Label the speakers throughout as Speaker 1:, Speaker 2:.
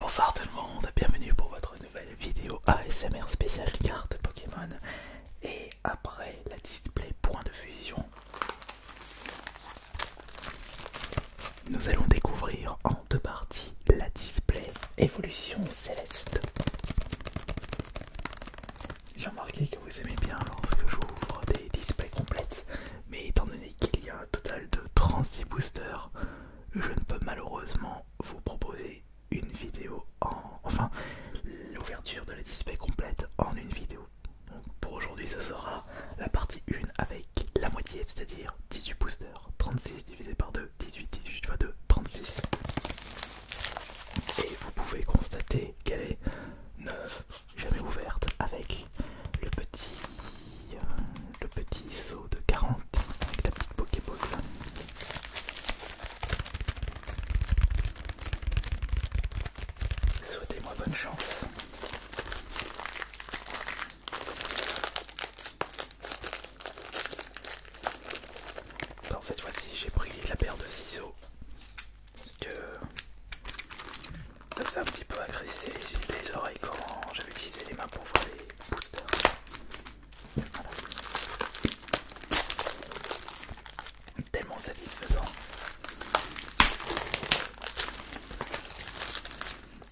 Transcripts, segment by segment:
Speaker 1: Bonsoir tout le monde, bienvenue pour votre nouvelle vidéo ASMR spéciale carte Pokémon et après la display point de fusion nous allons découvrir en deux parties la display évolution céleste j'ai remarqué que vous aimez bien lorsque j'ouvre des displays complètes mais étant donné qu'il y a total de 36 boosters. Je ne peux malheureusement vous proposer une vidéo en. Enfin, l'ouverture de la display complète en une vidéo. pour aujourd'hui, ce sera la partie 1 avec la moitié, c'est-à-dire 18 boosters. 36 divisé par 2, 18, 18 fois 2, 36. Et vous pouvez constater qu'elle est neuve, jamais ouverte, avec le petit euh, le petit saut de 40 avec la petite Pokéball. Souhaitez-moi bonne chance. Dans cette fois-ci, j'ai pris la paire de ciseaux parce que ça faisait un petit peu agresser les oreilles quand j'avais utilisé les mains pour faire les boosters. Tellement satisfaisant.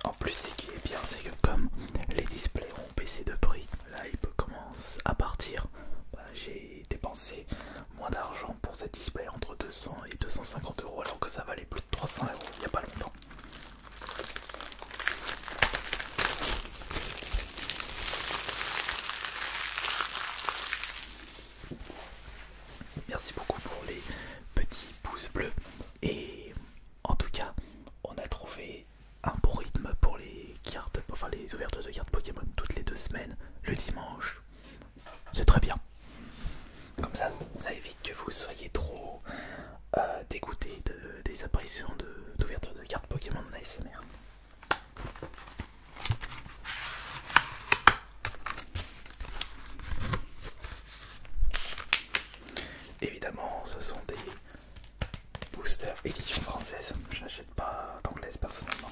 Speaker 1: En plus, ce qui est bien, c'est que comme les displays ont baissé de prix, là il commence à partir. Bah, j'ai dépensé moins d'argent pour ce display, entre 200 et 250 euros alors que ça valait plus de 300 euros il n'y a pas longtemps. Merci beaucoup pour les petits pouces bleus. Et en tout cas, on a trouvé un bon rythme pour les cartes, enfin les ouvertures de cartes Pokémon toutes les deux semaines, le dimanche. C'est très bien. Comme ça, ça évite que vous soyez trop à euh, des apparitions d'ouverture de, cartes Pokémon de Merde Évidemment, ce sont des boosters édition française. Je n'achète pas d'anglaise personnellement.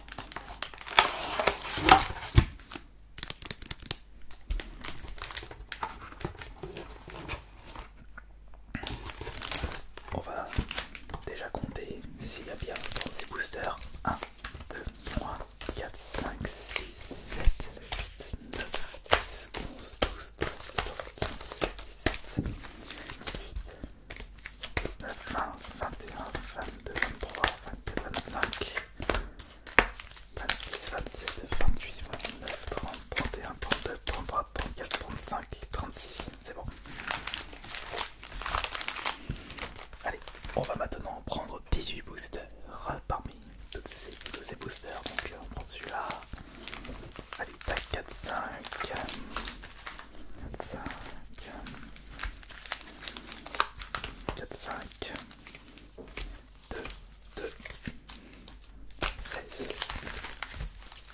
Speaker 1: On va déjà compter s'il y a bien dans ces boosters 1, 2, 3, 4, 5, 6, 7, 8, 9, 10, 11, 12, 13, 14, 15, 16, 17, 18, 19, 20, 21, 22, 23, 24, 25. 26, 27, 28, 29, 30, 31, 32, 33, 34, 35, 36. C'est bon. Allez, on va maintenant prendre 18 boosters parmi tous ces, boosters. Donc euh, on prend celui-là. Allez, tac, 4, 5. 4, 5. 4, 5. 2, 2, 16.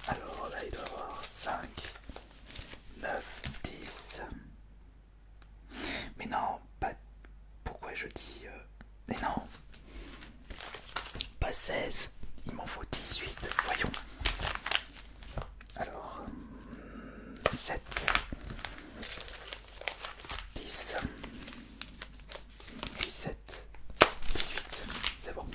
Speaker 1: Alors là, il doit avoir 5, 9, 10. Mais non, pas. Pourquoi je dis. Euh, mais non, pas 16, il m'en faut 18. Voyons. Alors, 7, 10, 17, 18, c'est bon.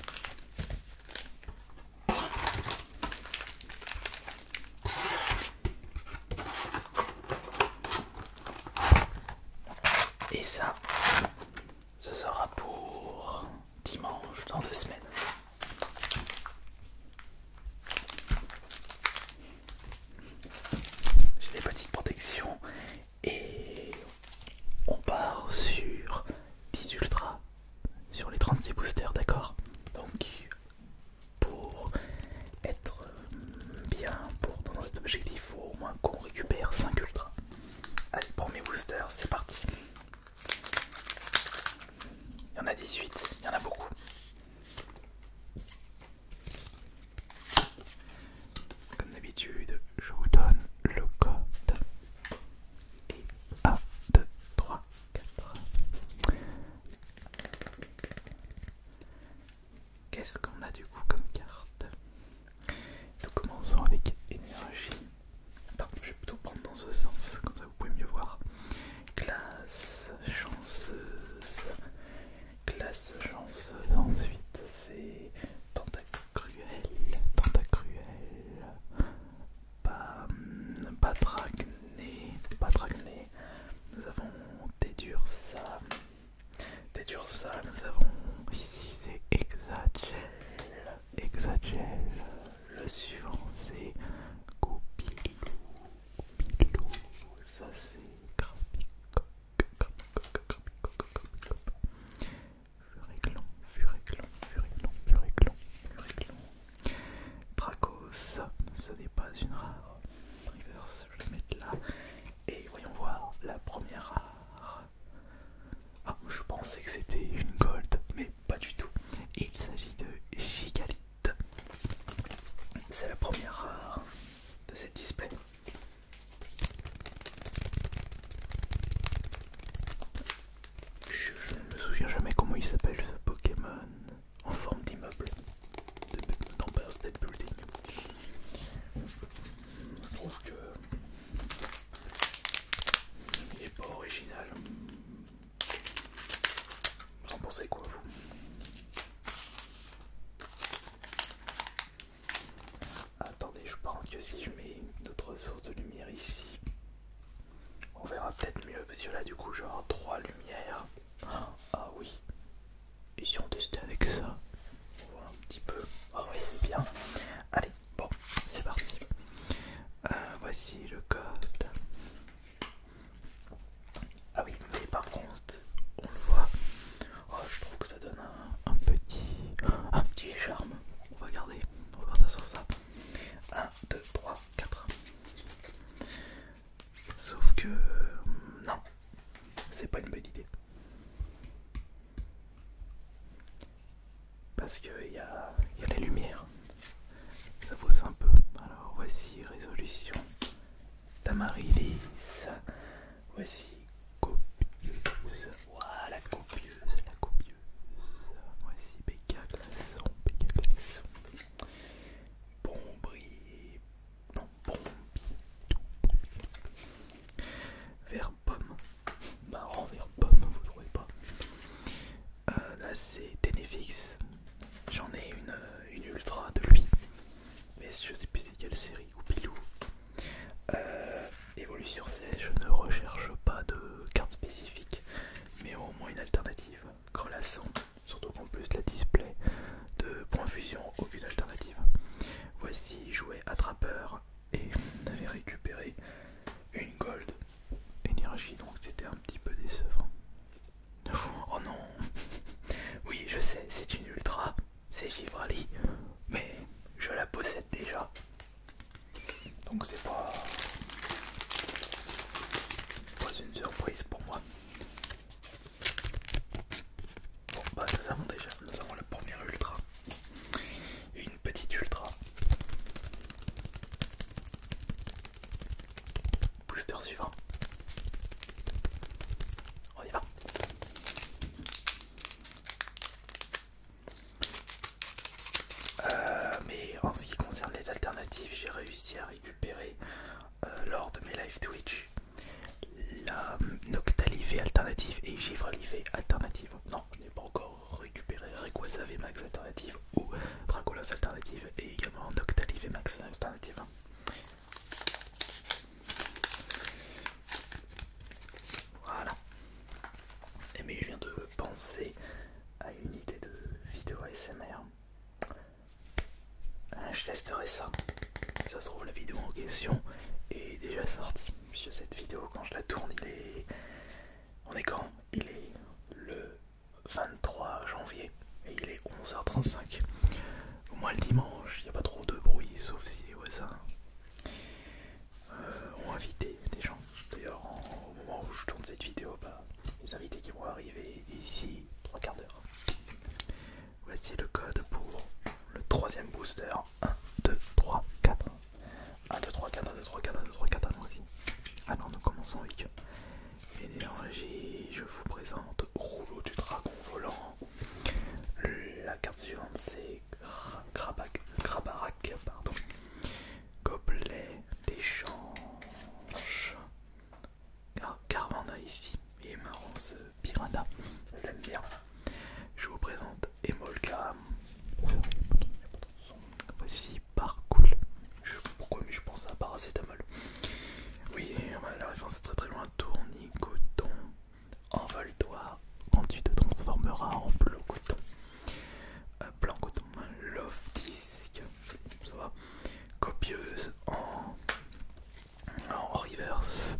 Speaker 1: Et ça, ce sera pour dimanche dans deux semaines. J'ai les petites protections et on part sur 10 ultras sur les 36 boosters, d'accord Donc pour être bien pour dans objectif, il faut au moins qu'on récupère 5 ultras. Allez, premier booster, c'est parti. Il y en a 18, il y en a beaucoup. Comme d'habitude, je vous donne le code. Et 1, 2, 3, 4. Qu'est-ce qu'on a du coup comme carte Nous commençons avec énergie. Attends, je vais plutôt prendre dans ce sens, comme ça vous pouvez mieux voir. Classe, chanceuse. Classe, chanceuse. Ensuite, c'est tentacle cruelle, tentacruelle, pas, pas Nous avons Tedursa, ça, Nous avons ici c'est Le suivant c'est goupilou, goupilou. Ça c'est Furéclon, Furéclon, Furéclon, Furéclon, Furéclon. Dracos, ce n'est pas une rare. Reverse, je vais mettre là. Et voyons voir la première rare. Ah, je pensais que c'était une gold, mais pas du tout. il s'agit de Gigalith. C'est la première rare de cette display. Je ne me souviens jamais comment il s'appelle ce Pokémon en forme d'immeuble de State Building. Je trouve que il n'est pas original. Vous en pensez quoi vous Attendez, je pense que si je mets une autre source de lumière ici, on verra peut-être mieux. Parce que là, du coup, genre trois lumières. Ah oui. Et si on testait avec ça On voit un petit peu. Ah oui, c'est bien. Allez, bon, c'est parti. Euh, voici le code. Ah oui, mais par contre, on le voit. Oh, je trouve que ça donne un, petit charme. On va garder, on va ça sur ça. 1, 2, 3, 4. Sauf que non, c'est pas une bonne idée. Parce qu'il y a, y a la lumières Ça fausse un peu. Alors voici résolution. Tamarilis. Voici copieuse. Voilà, la copieuse, la copieuse. Voici Béca Glaçon, Béca Glaçon. Bombri, non, Bombidou, Vert pomme, marrant vert pomme, vous trouvez pas euh, Là c'est Tenefix, j'en ai euh, une, ultra de lui, mais je sais plus c'est quelle série, ou Pilou, euh, Évolution C, je ne recherche pas de carte spécifique, mais au moins une alternative. Grelasson, surtout qu'en plus la display de point fusion, aucune alternative. Voici jouer attrapeur et on avait récupéré une gold énergie, donc c'était un petit peu décevant. Oh non Oui, je sais, c'est une ultra, c'est Givrali, mais je la possède déjà donc c'est pas une surprise pour moi bon bah nous avons déjà nous avons la première ultra une petite ultra booster suivant on y va euh, mais en ce qui concerne les alternatives, j'ai réussi à récupérer euh, lors de mes live Twitch la Noctalivé alternative et givre alternative. Non, je n'ai pas encore récupéré Requasav Max alternative ou Dracolos alternative et également Noctalivé Max alternative. Voilà. Et mais je viens de penser à une idée de vidéo ASMR. Ah, je testerai ça. Ça se trouve la vidéo en question est déjà sortie. Puisque cette vidéo quand je la tourne il est... On est quand Il est le 23 janvier et il est 11h35. Au moins le dimanche, il n'y a pas trop de bruit sauf si les voisins euh, ont invité des gens. D'ailleurs, au moment où je tourne cette vidéo, bah, les invités qui vont arriver ici trois quarts d'heure. Voici le code pour le troisième booster 1, 2, 3, 4. 1, 2, 3, 4, 1, 2, 3, 4, 1, 2, 3, 4, aussi. Alors ah nous commençons avec énergie. Je vous présente Rouleau du Dragon Volant. La carte suivante c'est Grabarak. pardon. Gobelet d'échange. Car, ah, Carvana ici. Et marrant ce pirata Je l'aime bien. Je vous présente Emolga. Voici cool. Je, pourquoi mais je pense à paracétamol. Oui, la référence est très très loin. Tournicoton. Envole-toi quand tu te transformeras en bleu coton. Euh, blanc coton, love disc, ça copieuse en, reverse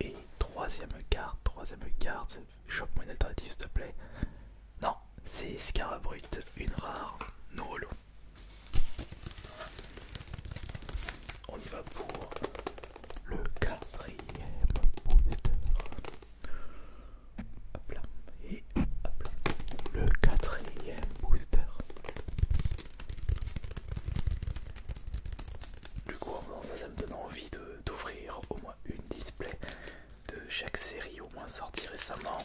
Speaker 1: et troisième carte, troisième carte, chope-moi une alternative s'il te plaît. Non, c'est Scarabrut, une rare, no On y va pour le quatrième booster. Hop là. Et hop là. Le quatrième booster. Du coup, ça, ça me donne envie d'ouvrir au moins une display de chaque série au moins sortie récemment.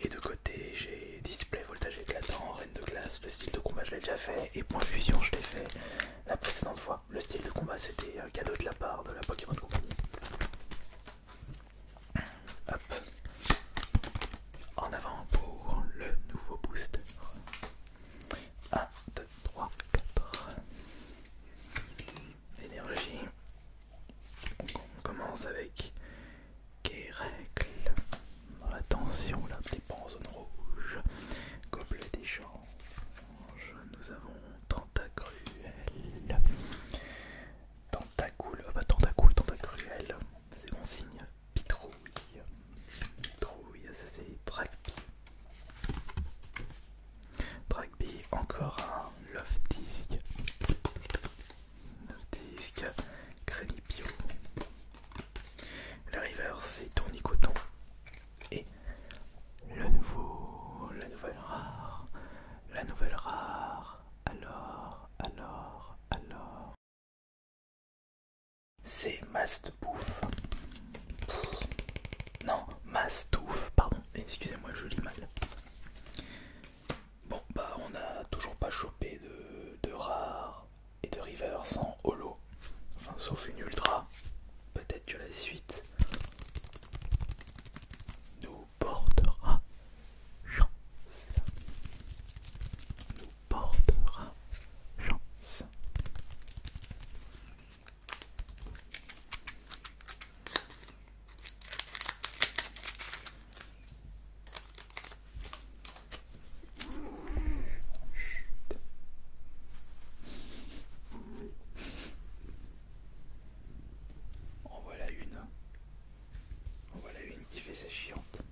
Speaker 1: Et de côté, j'ai display voltage éclatant, reine de glace, le style de combat je l'ai déjà fait, et point fusion je l'ai fait la précédente fois le style de combat c'était un euh, cadeau de la part de la Pokémon Company. Hop. En avant pour le nouveau booster. 1, 2, 3, 4. Énergie. On commence avec Kérecle. Attention, là, petit pas en zone rouge. Goblet des Nous avons Tentacruel. Tentacoule. Ah bah tentacoule, tentacruel. C'est mon signe. Pitrouille. Pitrouille, ça c'est Dragby. Dragby, encore un Love Disc. Love Disc. bio. La river c'est Tournicoton. Et le nouveau, la nouvelle rare, la nouvelle rare. Alors, alors, alors. C'est pouf Non, Mastouf, pardon, excusez-moi, je lis mal. Bon, bah, on n'a toujours pas chopé de, de rare et de river sans holo. Enfin, sauf une ultra. Peut-être que la suite nous portera chance. Nous portera chance. Chut. En voilà une. En voilà une qui fait sa chiante.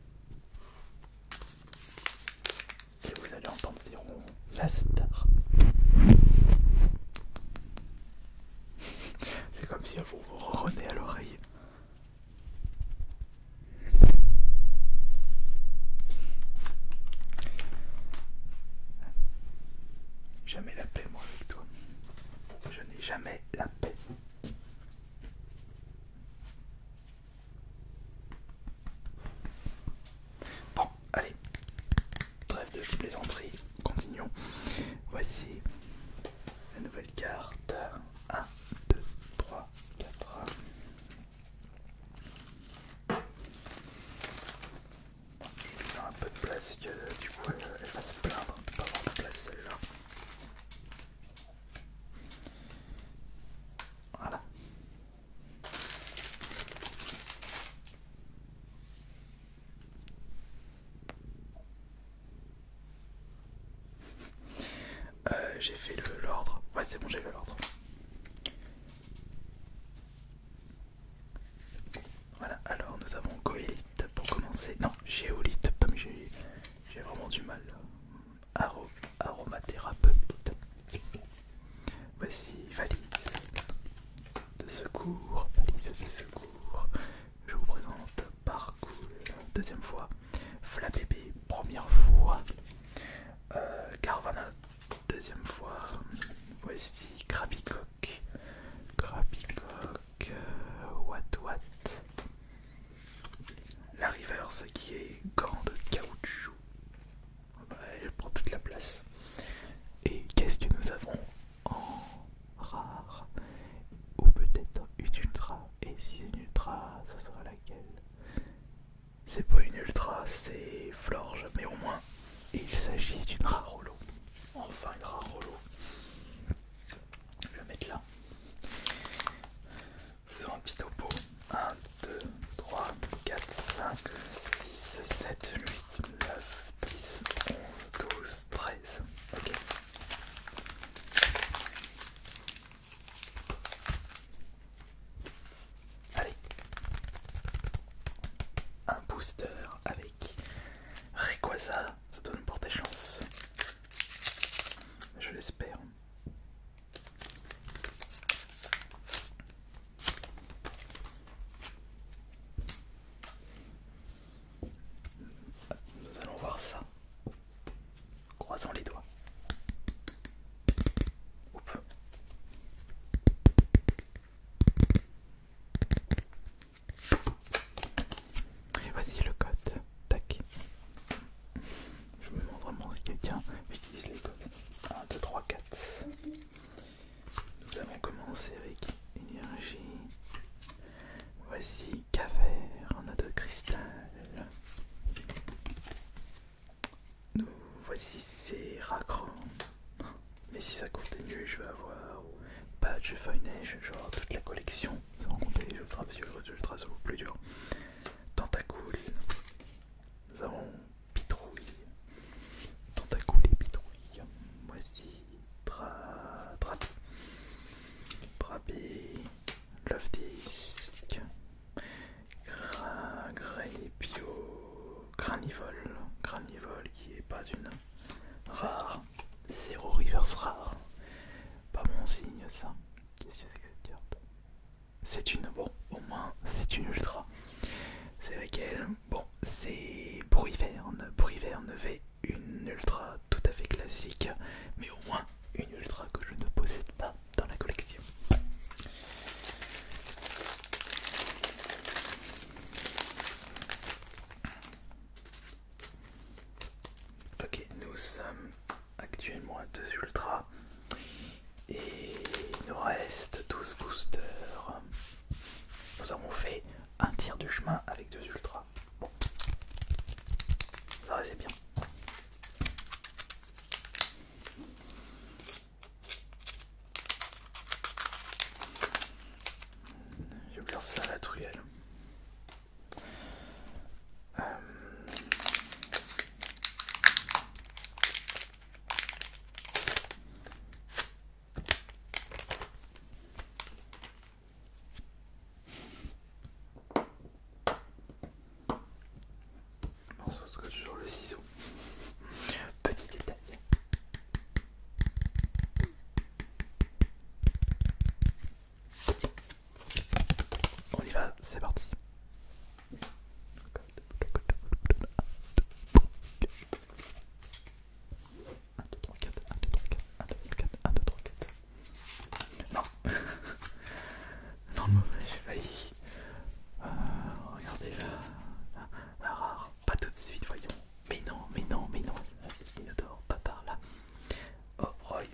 Speaker 1: Et vous allez entendre La star. C'est comme si elle vous ronronnait à l'oreille. Jamais la paix, moi, avec toi. Je n'ai jamais la paix. Bon, allez, trêve de plaisanterie, continuons. Voici la nouvelle carte. 1, 2, 3, 4 lui a un peu de place parce que du coup elle, va se plaindre de ne pas avoir de place celle-là. Voilà. Euh, j'ai fait l'ordre. Ouais c'est bon j'ai fait l'ordre. Voilà, alors nous avons Goélite pour commencer. Non, Géolite, comme j'ai vraiment du mal. Aro, aromathérapeute. Voici valide de secours. secours. Je vous présente Parcours, deuxième fois. Flabébé, première fois. Euh, Carvana, deuxième fois. Voici Krabico. Cock, euh, Watt Watt, la reverse qui est grande caoutchouc, elle prend toute la place. Et qu'est-ce que nous avons en rare Ou peut-être une ultra Et si c'est une ultra, ce sera laquelle C'est pas une ultra, c'est Florge, mais au moins il s'agit d'une rare holo. Enfin, un grand le mettre là. Faisons un petit topo. 1, 2, 3, 4, 5, 6, 7, 8, 9, 10, 11, 12, 13. Allez. Un booster avec quoi ça donne pour tes chances. Je l'espère. Nous allons voir ça. Croisons les doigts. Et voici le code. Tac. Je me demande vraiment si quelqu'un utilise les codes. 1, 2, 3, 4. Nous allons commencé avec énergie. Voici caverne, on a cristal. Nous voici Seracron. Mais si ça mieux, je vais avoir Patch Feuille-Neige, genre toute la collection, sans compter les ultra que les plus durs. Tentacool, nous avons Pitrouille, Tentacool et Pitrouille. Voici Tra... Trapi, Trapi, Love Disc, Gra... Granivol, Granivol qui est pas une Rare. Zéro reverse rare. Pas bon signe ça. Qu'est-ce que c'est que cette carte C'est une. Bon, au moins, c'est une ultra. C'est laquelle Bon, c'est Bruyverne. Bruyverne V, une ultra tout à fait classique, mais au moins une ultra que je ne possède pas dans la collection. Ok, nous sommes actuellement à 2 ultra et il nous reste 12 boosters. Nous avons fait un tir du chemin avec 2 ultra. Bon, ça reste bien. Je vais ouvrir ça à la truelle. Euh... toujours le ciseau. Petit détail. On y va, c'est parti. Un, deux, trois, quatre, un, deux, trois, quatre, un, deux, quatre, un, deux, trois, quatre. Non, non, j'ai failli. Euh, regardez la rare, pas tout de suite, voyons. Mais non, mais non, mais non, dort pas par là. Oh, Roy,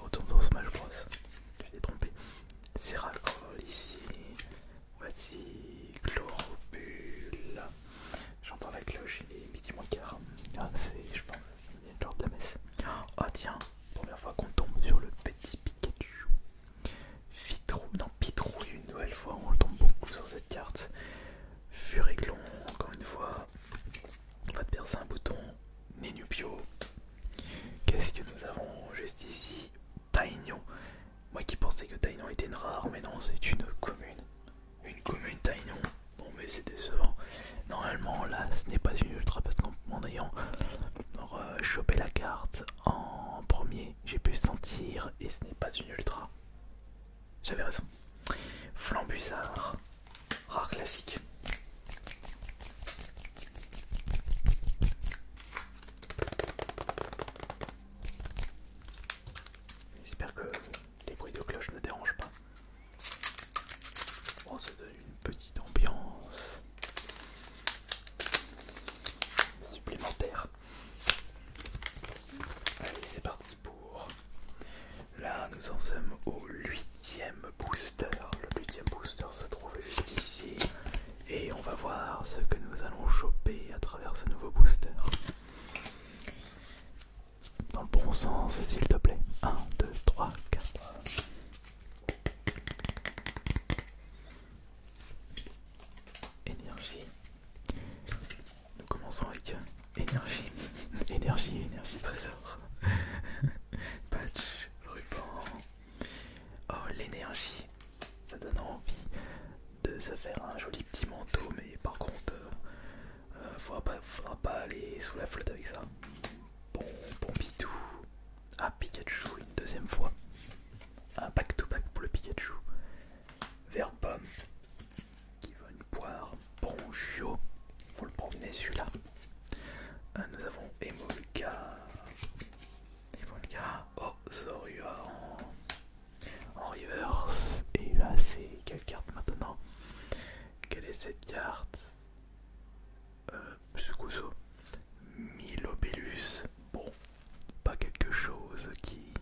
Speaker 1: retourne dans Smash Bros. Tu t'es trompé. Seracol ici. Voici Chloropule. J'entends la cloche, il est midi moins quart. Ah, c'est, je pense, sorte de la messe. Oh, tiens, première fois qu'on tombe sur le petit Pikachu. Pitrouille, non, Pitrou, une nouvelle fois, on le tombe beaucoup sur cette carte. Furéglon, encore une fois, on va te percer un bouton. Nenubio. Qu'est-ce que nous avons juste ici Taïnon. Moi qui pensais que Taïnon était une rare, mais non, c'est une commune. Une commune Taïnon. Bon, mais c'est décevant. Normalement, là, ce n'est pas une ultra parce qu'en ayant euh, chopé la carte en premier, j'ai pu sentir et ce n'est pas une ultra. J'avais raison. Flambusard, rare classique. J'espère que les bruits de cloche ne dérangent pas. On oh, se donne une petite ambiance supplémentaire. Allez, c'est parti pour Là, nous en sommes au 8ème booster. Le 8ème booster se trouve juste ici. Et on va voir ce que nous allons choper à travers ce nouveau booster. Dans le bon sens, s'il te plaît. 1, 2, 3, 4. Énergie. Nous commençons avec euh, énergie, énergie, énergie, trésor. Patch, ruban. Oh, l'énergie. Ça donne envie de se faire un joli petit manteau, mais par contre, euh, euh, faudra, pas, pas aller sous la flotte avec ça. Bon, bon Pitou. Ah, Pikachu une deuxième fois. Un back-to-back pour le Pikachu. Vert-Pomme qui une Poire, bonjour, pour le promener celui-là. Ah, nous avons Emolga, Emolga, Oh ah, en, en reverse. Et là, c'est quelle carte maintenant Quelle est cette carte euh, Milo Milobelus. Bon, pas quelque chose qui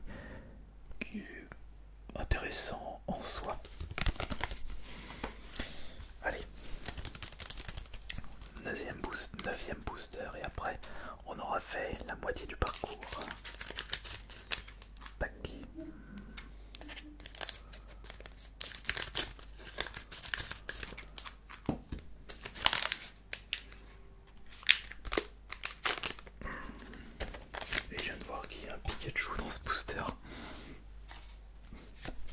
Speaker 1: qui est intéressant en soi. Allez, 9ème booster, et après on aura fait la moitié du parcours. Hein. Et je viens de voir qu'il y a un Pikachu dans ce booster.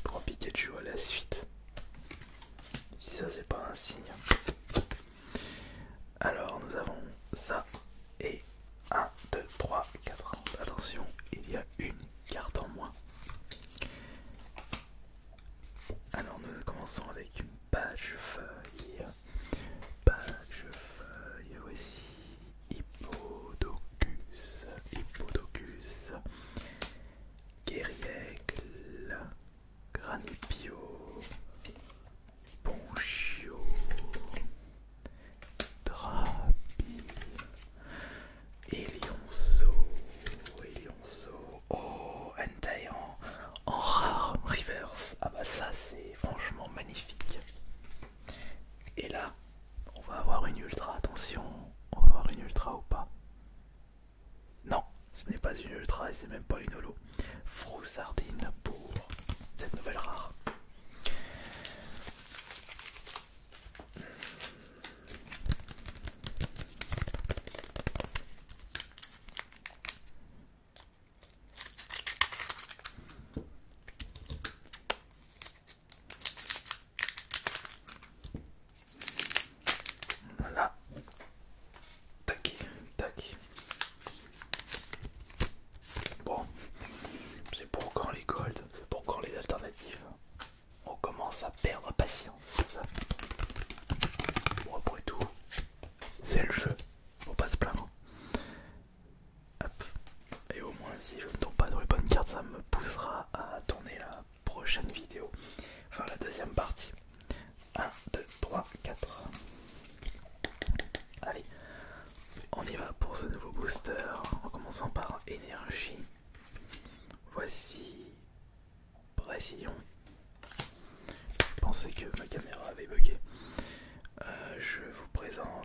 Speaker 1: Trois Pikachu à la suite. Si ça c'est pas un signe. Alors nous avons ça et 1, 2, 3, 4. Attention, il y a une carte en moins. Alors nous commençons avec une page feuille. Page feuille, voici Hippodocus, Hippodocus, Guerriègle, Granipio, Ponchio, Drapille, Elionceau, Elionceau, oh, Entei en, en rare reverse, ah bah ça c'est franchement magnifique. Et là, on va avoir une ultra, attention. On va avoir une ultra ou pas Non, ce n'est pas une ultra et c'est même pas une holo. Sardine pour cette nouvelle rare. Voilà. Tac, tac. Bon, c'est pour quand les golds, c'est pour quand les alternatives. On commence à perdre patience. Bon, après tout, c'est le jeu, on pas se et au moins si je ne tombe pas dans les bonnes cartes, ça me poussera à tourner la prochaine vidéo. Enfin la deuxième partie. 1, 2, 3, 4. Allez, on y va pour ce nouveau booster en commençant par énergie. Voici Précision. Je pensais que ma caméra avait bugué. Euh, je vous présente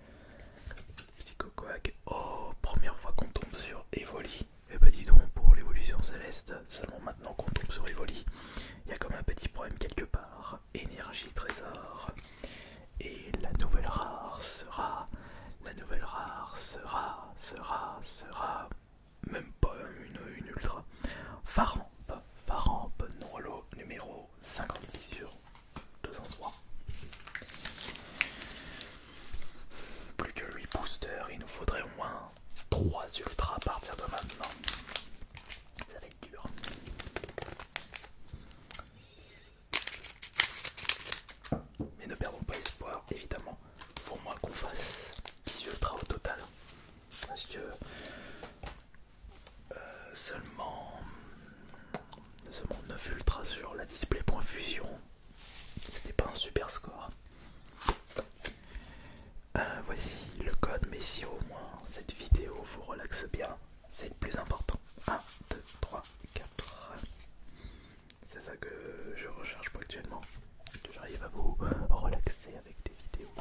Speaker 1: Psycho-coag, Oh, première fois qu'on tombe sur Evoli. Et eh bah ben, dis donc, pour l'évolution céleste, seulement maintenant qu'on tombe sur Evoli, il y a comme un petit problème quelque part. Énergie trésor. Et la nouvelle rare sera... La nouvelle rare sera... Sera... Sera... Même pas une, ultra. Faramp, Faramp, Noirlo numéro 56 sur 203. Plus que 8 boosters, il nous faudrait au moins 3 ultras à partir de maintenant. Ça va être dur. Mais ne perdons pas espoir, évidemment. Faut moins qu'on fasse 10 ultras au total. Parce que euh, seulement, seulement 9 ultras sur la display.fusion ce n'est pas un super score. Euh, voici le code, mais si au moins cette vidéo vous relaxe bien, c'est le plus important. 1, 2, 3, 4. C'est ça que je recherche pour actuellement. J'arrive à vous relaxer avec des vidéos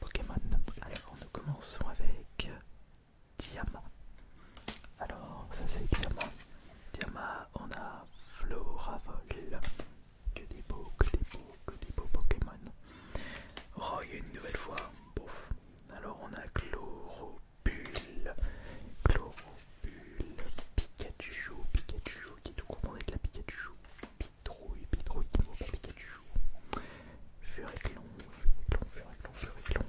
Speaker 1: Pokémon. Alors nous commençons avec diamant. Alors, ça c'est diamant. Diamant, on a Floravol. Que des beaux, que des beaux, que des beaux Pokémon. Roy, une nouvelle fois, Bouf. Alors, on a Chloropule. Chloropule. Pikachu, Pikachu qui est tout content d'être la Pikachu. Pitrouille, Pitrouille qui vaut Pikachu. Furiclon, Furiclon, Furiclon, Furiclon.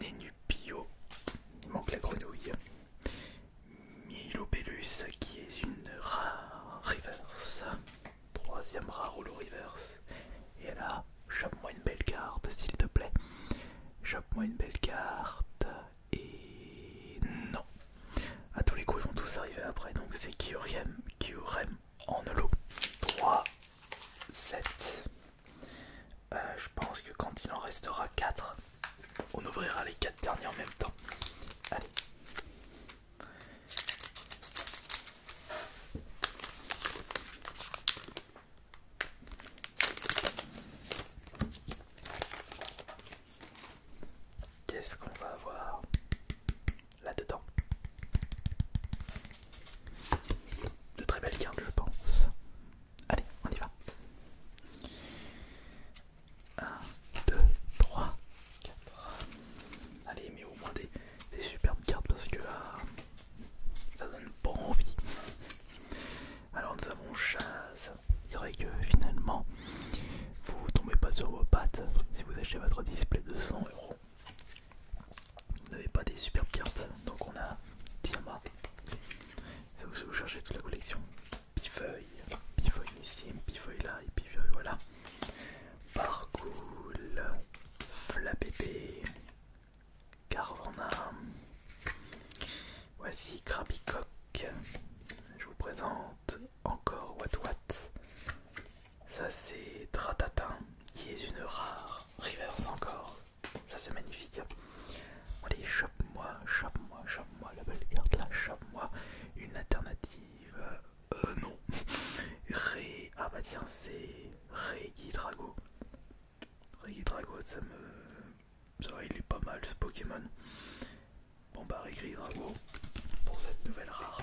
Speaker 1: Nenupio, il manque la grenouille. Milobellus qui est une rare reverse, troisième rare holo reverse. Et là, chope-moi une belle carte s'il te plaît. Chope-moi une belle carte. Et non. À tous les coups, ils vont tous arriver après. Donc c'est Kyurem, Kyurem en holo. 3, 7. Euh, je pense que quand il en restera 4, on ouvrira les 4 derniers en même temps. Allez. Qu'est-ce qu'on va avoir là-dedans de très belles cartes, je pense. Allez, on y va. 1, 2, 3, 4. Allez, mais au moins des, superbes cartes parce que ah, ça donne pas envie. Alors, nous avons Il C'est vrai que finalement, vous tombez pas sur vos pattes si vous achetez votre display de 100 euros. Vous n'avez pas des superbes cartes, donc on a Diama. Si vous cherchez toute la collection, Pifeuille, Pifeuille ici, Pifeuille là, et Pifeuille voilà. Parcool, Flapépé, Carvana, voici Krabicock. Je vous présente encore Wat Wat. Ça c'est Dratatin, qui est une rare reverse encore. Ça c'est magnifique. Allez, chope-moi, chope-moi, chope-moi la belle carte là, chope-moi une alternative. Euh, euh non. Ré. Ah bah tiens, c'est Reiki Drago. Drago, ça me. Ça, il est pas mal ce Pokémon. Bon bah Reiki Drago pour cette nouvelle rare.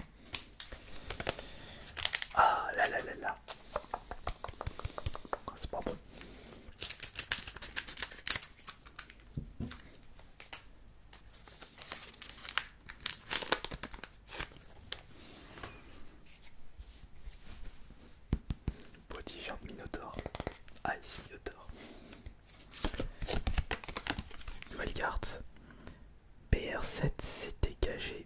Speaker 1: Ah là là là là. C'est pas bon. Petit genre Minotaur. Ice Minotaur. Nouvelle carte. PR7 CTKG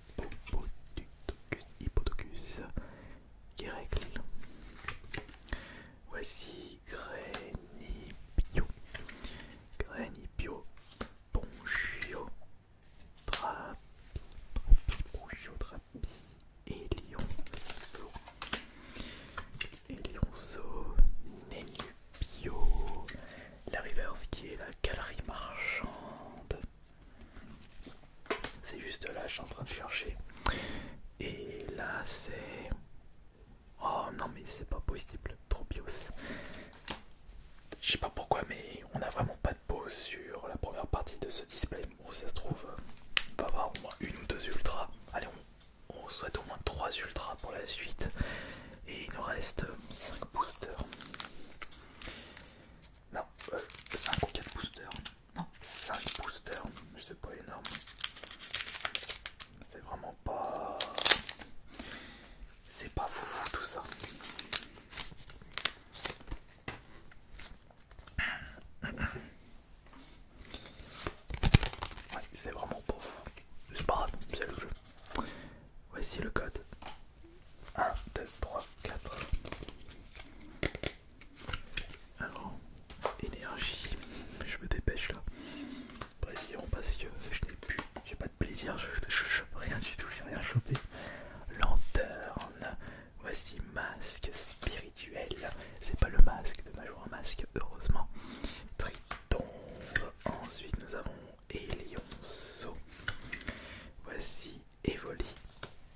Speaker 1: qui règle. Voici Grenipio, Grenipio, Bongio Trapi, Ponchio, Trapi, Elionzo, Elionso, Nenupio, la reverse qui est la galerie marchande. C'est juste là, je suis en train de chercher. Et là, c'est. Oh non, mais c'est pas possible, trop bios. Je sais pas pourquoi, mais on n'a vraiment pas de pause sur la première partie de ce display. Bon, ça se trouve, on va avoir au moins une ou deux ultras. Allez, on, on souhaite au moins trois ultras pour la suite. Et il nous reste 5 boosters. Non, 5 euh, ou 4 boosters. Non, 5 boosters. C'est pas énorme. C'est vraiment pas... C'est pas foufou tout ça. Ouais, c'est vraiment pas fou. C'est pas grave, c'est le jeu. Voici le code. 1, 2, 3, 4. Alors, énergie, je me dépêche là. Pression parce que je n'ai plus, j'ai pas de plaisir, je, je, rien du tout, j'ai rien chopé. Lanterne, voici masque spirituel. C'est pas le masque de Major Masque, heureusement. Triton, ensuite nous avons Elionceau. Voici Evoli,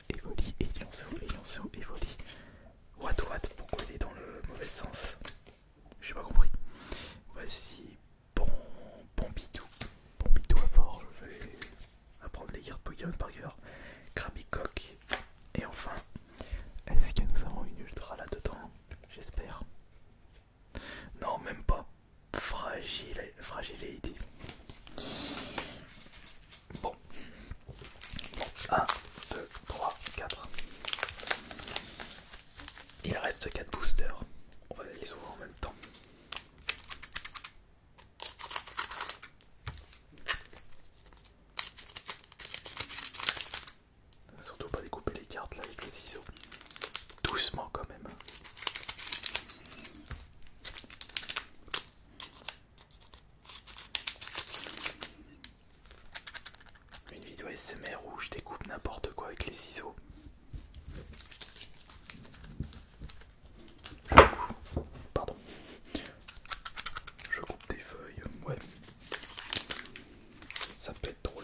Speaker 1: Evoli, Elionzo, Elionzo, Evoli. What, what, pourquoi il est dans le mauvais sens J'ai pas compris. Voici bon, Bon Bombidou à bord, je vais apprendre les cartes Pokémon par cœur. Krabby et enfin, est-ce que nous avons une ultra là-dedans J'espère. Non, même pas fragile fragilité. Bon. 1, 2, 3, 4. Il reste 4 boosters. On va les ouvrir en même temps. Surtout pas découper les cartes là avec les ciseau Doucement quand même. Une vidéo SMR où je découpe n'importe quoi avec les ciseaux. Pardon. Je coupe des feuilles. Ouais. Ça peut être drôle.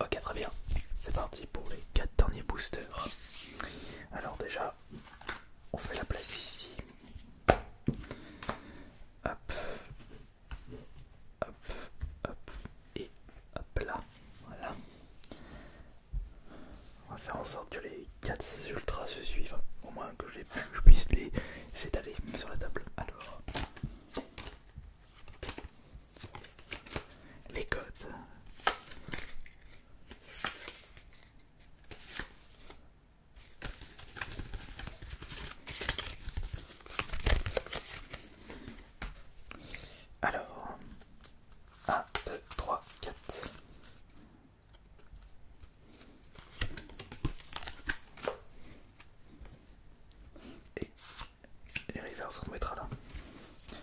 Speaker 1: Ok, très bien. C'est parti pour les 4 derniers boosters. Alors, déjà, on fait la place ici. Hop, hop, hop, et hop là. Voilà. On va faire en sorte que les 4 ultras se suivent. Au moins que je, puisse les s'étaler sur la table. Alors les codes. Alors, 1, 2, 3, 4. Et les rivers on mettra là.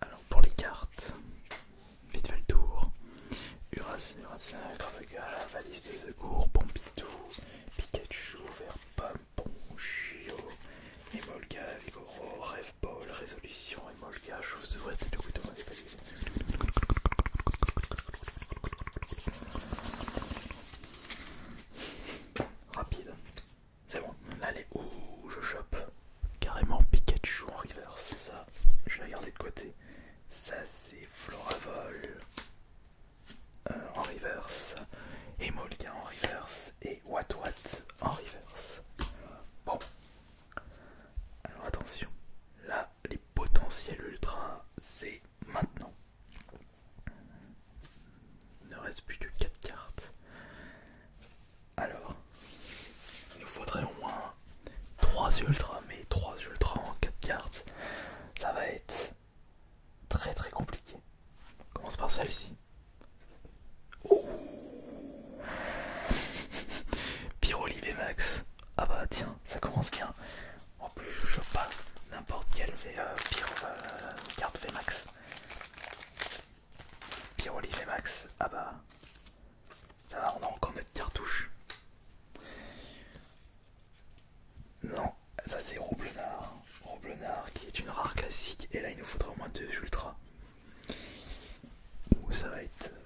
Speaker 1: Alors pour les cartes, vite fait le tour. Uracine, Grave Valise de secours, Pompidou, Pikachu, Verpam, chiot, Emolga, Vigoro, Rêve Paul, Résolution, Emolga, vous souhaite de couteau Rapide. C'est bon. Là, est où je chope. Carrément Pikachu en reverse. Ça, je vais garder de côté. Ça, c'est Floravol euh, en reverse. Et en reverse. Et Wat Wat en reverse. Bon. Alors attention. Là, les potentiels ultra, c'est maintenant. Il ne reste plus que 4 cartes. Alors, il nous faudrait au moins 3 ultras, mais 3 ultras en 4 cartes, ça va être très très compliqué. On commence par celle-ci. Oh Bmax. Max. Ah bah tiens, ça commence bien. En plus, je joue pas n'importe quelle v, euh, euh, carte VMAX. Pyroli VMAX, ah bah. Ça va, on a encore notre cartouche. Non, ça c'est Roblenard. Roblenard qui est une rare classique. Et là, il nous faudra au moins deux ultras. Ou ça va être euh,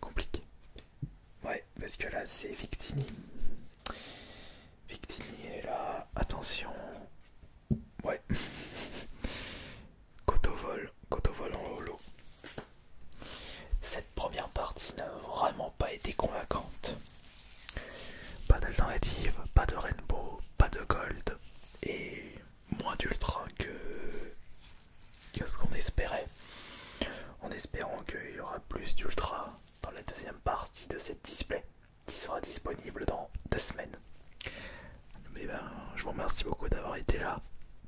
Speaker 1: compliqué. Ouais, parce que là c'est Victini. Victini est là, attention. Ouais. vol. au vol en holo. Cette première partie n'a vraiment pas été convaincante. Pas d'alternative, pas de rainbow, pas de gold et moins d'ultra que... que ce qu'on espérait. En espérant qu'il y aura plus d'ultra dans la deuxième partie de cette display qui sera disponible dans deux semaines. Mais eh ben, je vous remercie beaucoup d'avoir été là.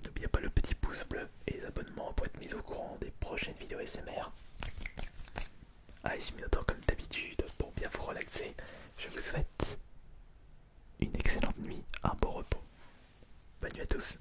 Speaker 1: N'oubliez pas le petit pouce bleu et les abonnements pour être mis au courant des prochaines vidéos SMR. Ice Minotaur comme d'habitude pour bien vous relaxer. Je vous souhaite une excellente nuit, un bon repos. Bonne nuit à tous.